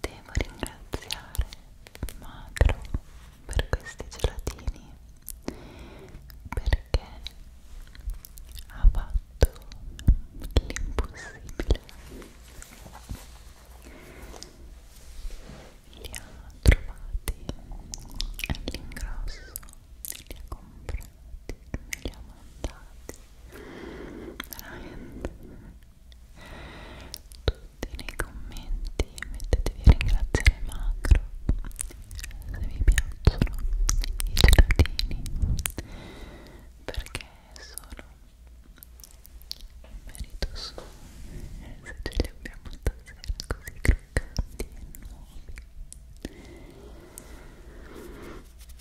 Devo ringraziare Magro per questi gelatini perché ha fatto l'impossibile li ha trovati all'ingrosso li ha comprati me li ha mandati veramente tutti nei commenti mettetevi a ringraziare Macro se vi piacciono i gelatini perché sono un merito suo se ce li abbiamo stasera così croccanti e nuovi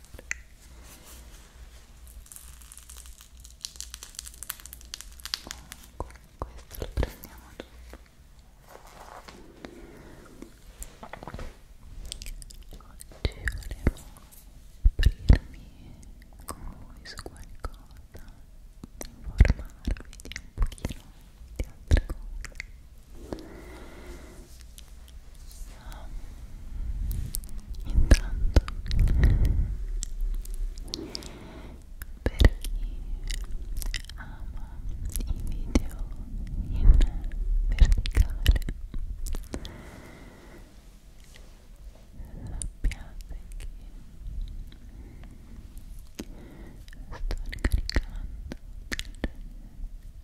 Comunque questo lo prendiamo dopo Oggi volevo aprirmi con voi su qualcosa informarvi di un pochino di altre cose intanto per chi ama i video in verticale sappiate che sto ricaricando delle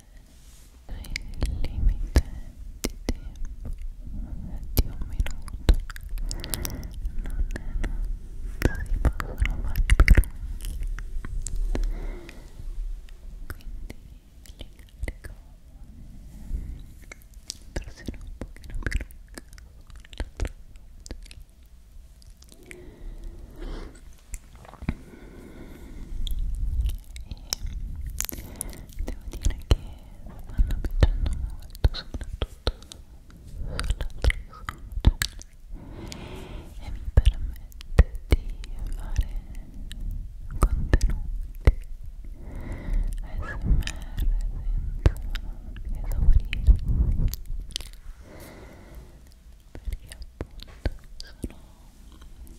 il limite di tempo di un minuto non, non si possono fare più lunghi quindi li carico torsione un pochino più lunga e devo dire che mi stanno piacendo molto soprattutto sull'altro sole cioè, e mi permette di fare contenuti ASMR senza esaurirmi perché appunto sono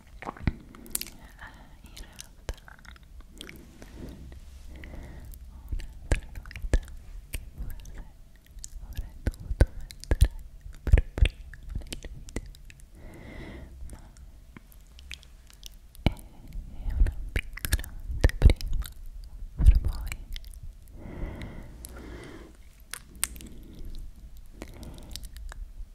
in realtà un'altra novità che forse avrei dovuto mettere per prima nel video ma è una piccola anteprima per voi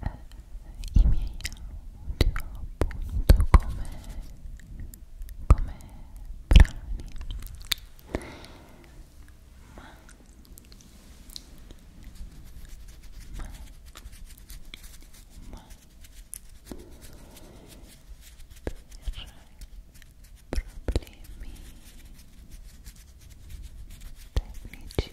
eh, i miei audio appunto come, come brani ma, ma, ma per problemi tecnici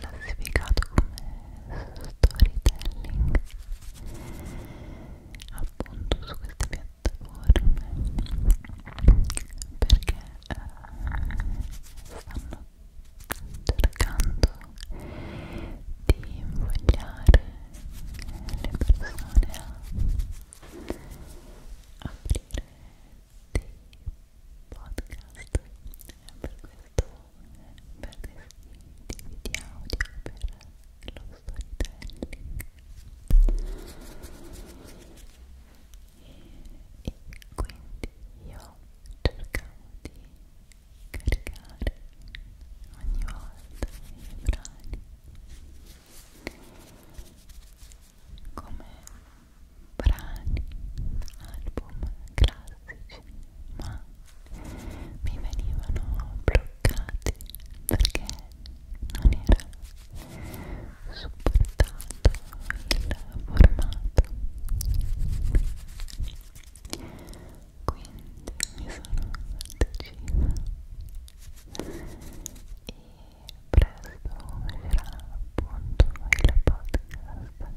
classificato come storytelling appunto su queste piattaforme perché eh, stanno cercando di invogliare le persone a aprire dei podcast è per questo breve di audio per lo storytelling e, e quindi io cercavo di caricare ogni volta i brani come brani, album classici, ma mi venivano bloccati perché non era supportato il formato. Quindi mi sono decisa e presto uscirà appunto il podcast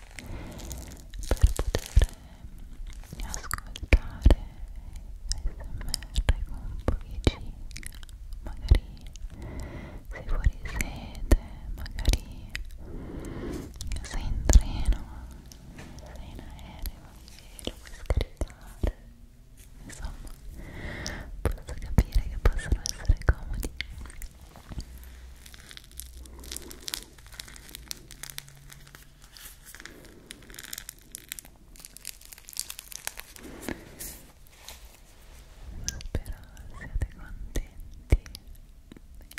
per poter eh, ascoltare ASMR con pochi magari sei fuori sede, magari sei in treno, sei in aereo e lo puoi scaricare insomma posso capire che possono essere comodi Spero siate contenti,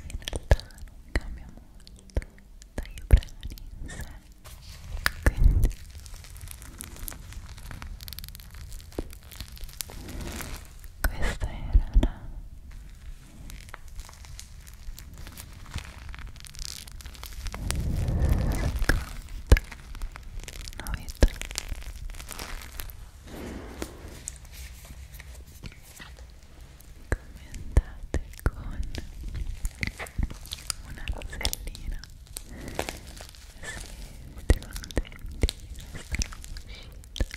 in realtà non cambia molto dai brani in sé, quindi questa era la seconda novità commentate con una rosellina se siete contenti di questa nuova uscita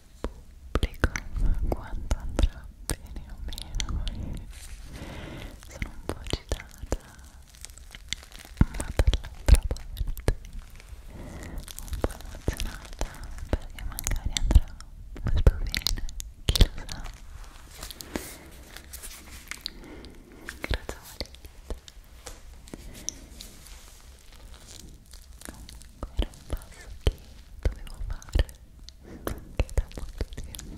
pubblico quanto andrà bene o meno sono un po' agitata ma dall'altra parte un po' emozionata perché magari andrà molto bene chi lo sa grazie a Comunque era un passo che dovevo fare anche da molto tempo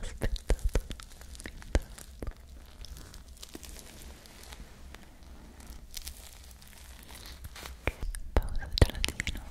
aspettato fin troppo pausa gelatino Ecco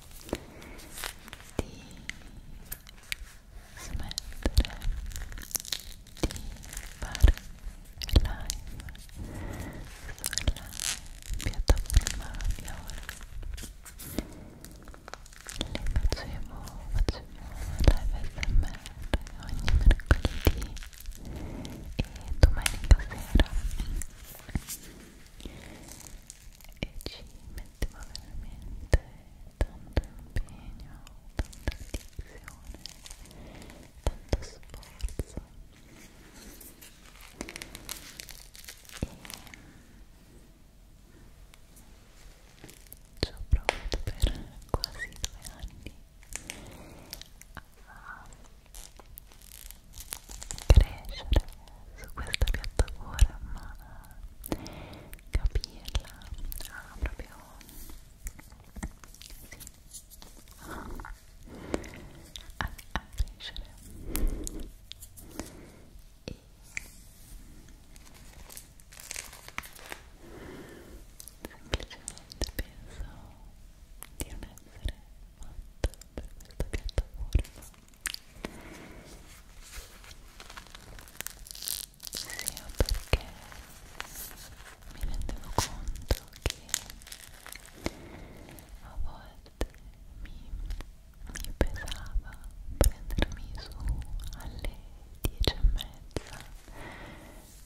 di smettere di fare live sulla piattaforma di ora le facevo, facevo live smr ogni mercoledì e domenica sera e ci metteva veramente tanto impegno, tanta dedizione, tanto sforzo e ci ho provato per quasi due anni a crescere su questa piattaforma capirla ah, proprio sì. a, a crescere e semplicemente penso di non essere fatta per questa piattaforma sia perché mi rendevo conto che a volte mi, mi pesava prendermi su alle 10 e mezza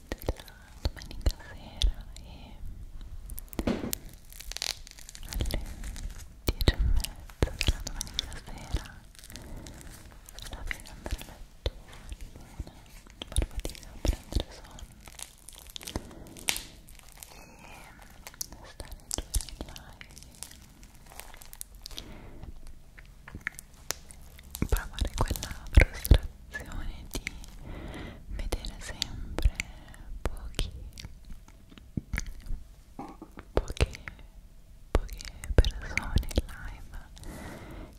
della domenica sera e alle 10 e mezza della domenica sera alla fine andare a letto luna per fatica a prendere sonno e stare giù live provare quella frustrazione di vedere sempre pochi poche, poche persone in live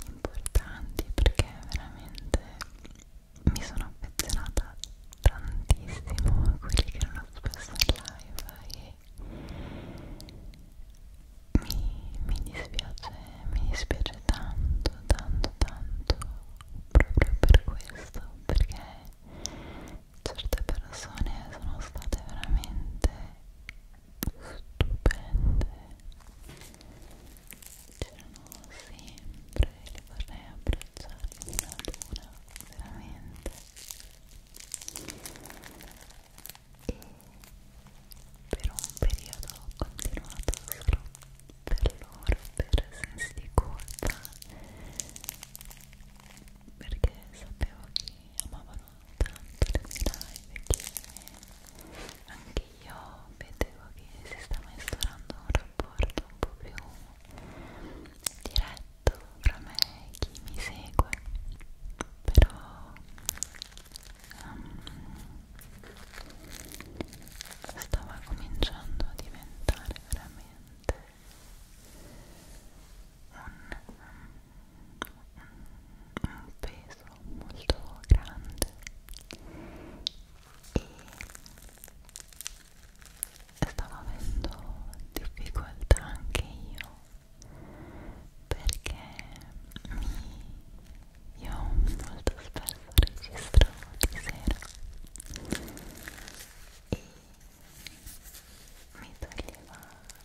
importanti perché veramente mi sono affezionata tantissimo a quelli che erano spesso in live e mi, mi dispiace, mi dispiace tanto, tanto, tanto proprio per questo perché certe persone sono state veramente stupende c'erano sempre li vorrei abbracciare una ad una veramente e per un periodo ho continuato solo per loro per sensi di colpa perché sapevo che amavano tanto le mie live che anche io vedevo che si stava instaurando un rapporto un po' più diretto fra me e chi mi segue però um, stava cominciando a diventare veramente un, un peso molto grande e stavo avendo difficoltà anche io perché mi, io molto spesso registravo di sera e mi toglieva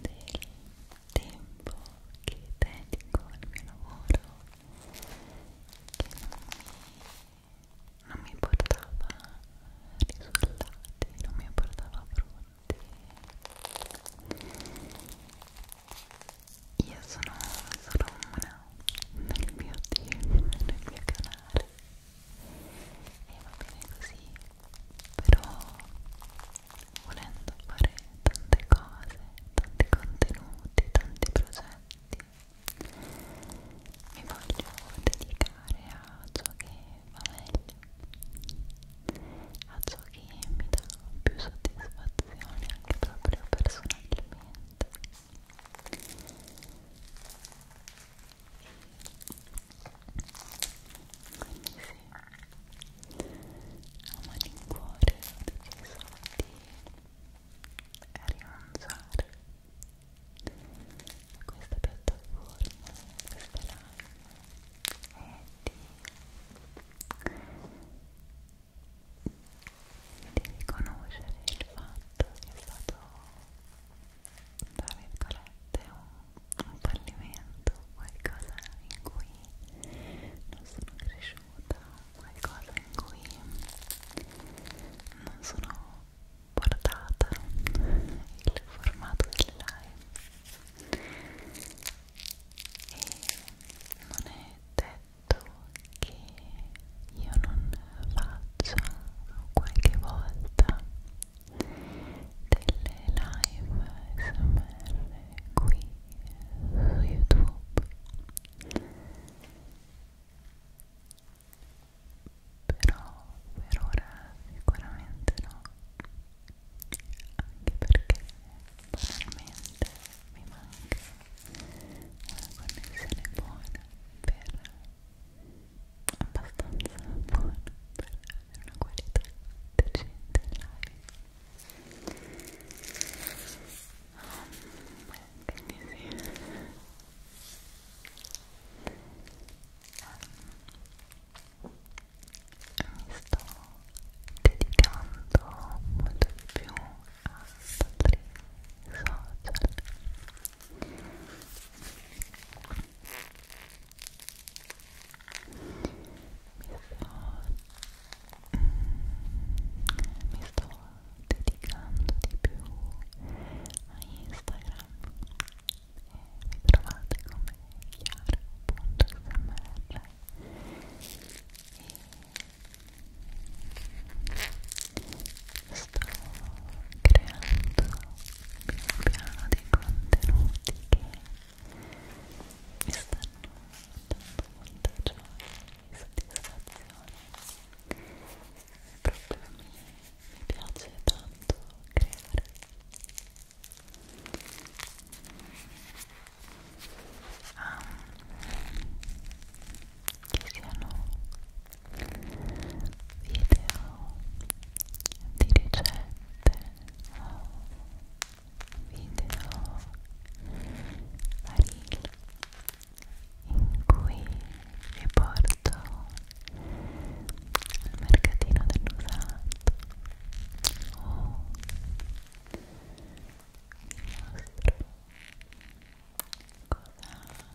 del tempo che dedico al mio lavoro che non mi, non mi portava risultati, non mi portava frutti io sono solo una nel mio team, nel mio canale e va bene così però volendo fare tante cose tanti contenuti tanti progetti mi voglio dedicare a ciò che va meglio a ciò che mi dà più soddisfazione anche proprio personalmente a malincuore ho deciso di rinunciare a questa piattaforma, a questa live e di, di riconoscere il fatto che è stato tra virgolette un, un fallimento, qualcosa in cui non sono cresciuta, qualcosa in cui non sono portata il formato delle live e non è detto che io non faccia qualche volta delle live smr qui su youtube però per ora sicuramente no anche perché banalmente mi manca una connessione buona per abbastanza buona per avere una qualità decente live quindi sì mi sto dedicando molto di più a altri social Mm, mi sto dedicando di più a Instagram e mi trovate come chiara.smr e sto creando un piano di contenuti che mi stanno dando molta gioia e soddisfazione proprio mi, mi piace tanto creare ah, che siano video di ricette video vari in cui vi porto al mercatino dell'usato o vi mostro cosa cosa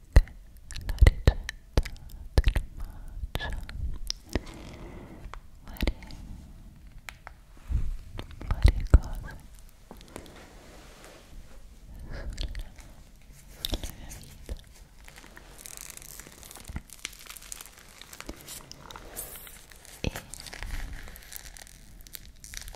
la ricetta del matcha varie, varie cose sulla, sulla mia vita e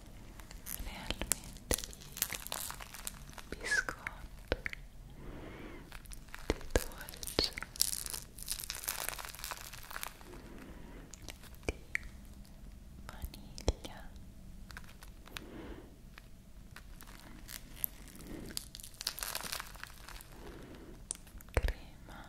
realmente di biscotto, di dolce, di vaniglia crema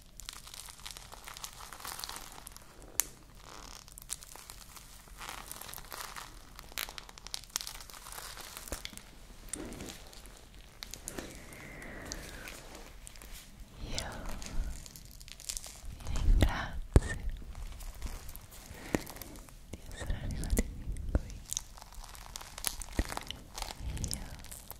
Io vi ringrazio di essere arrivati fin qui. Io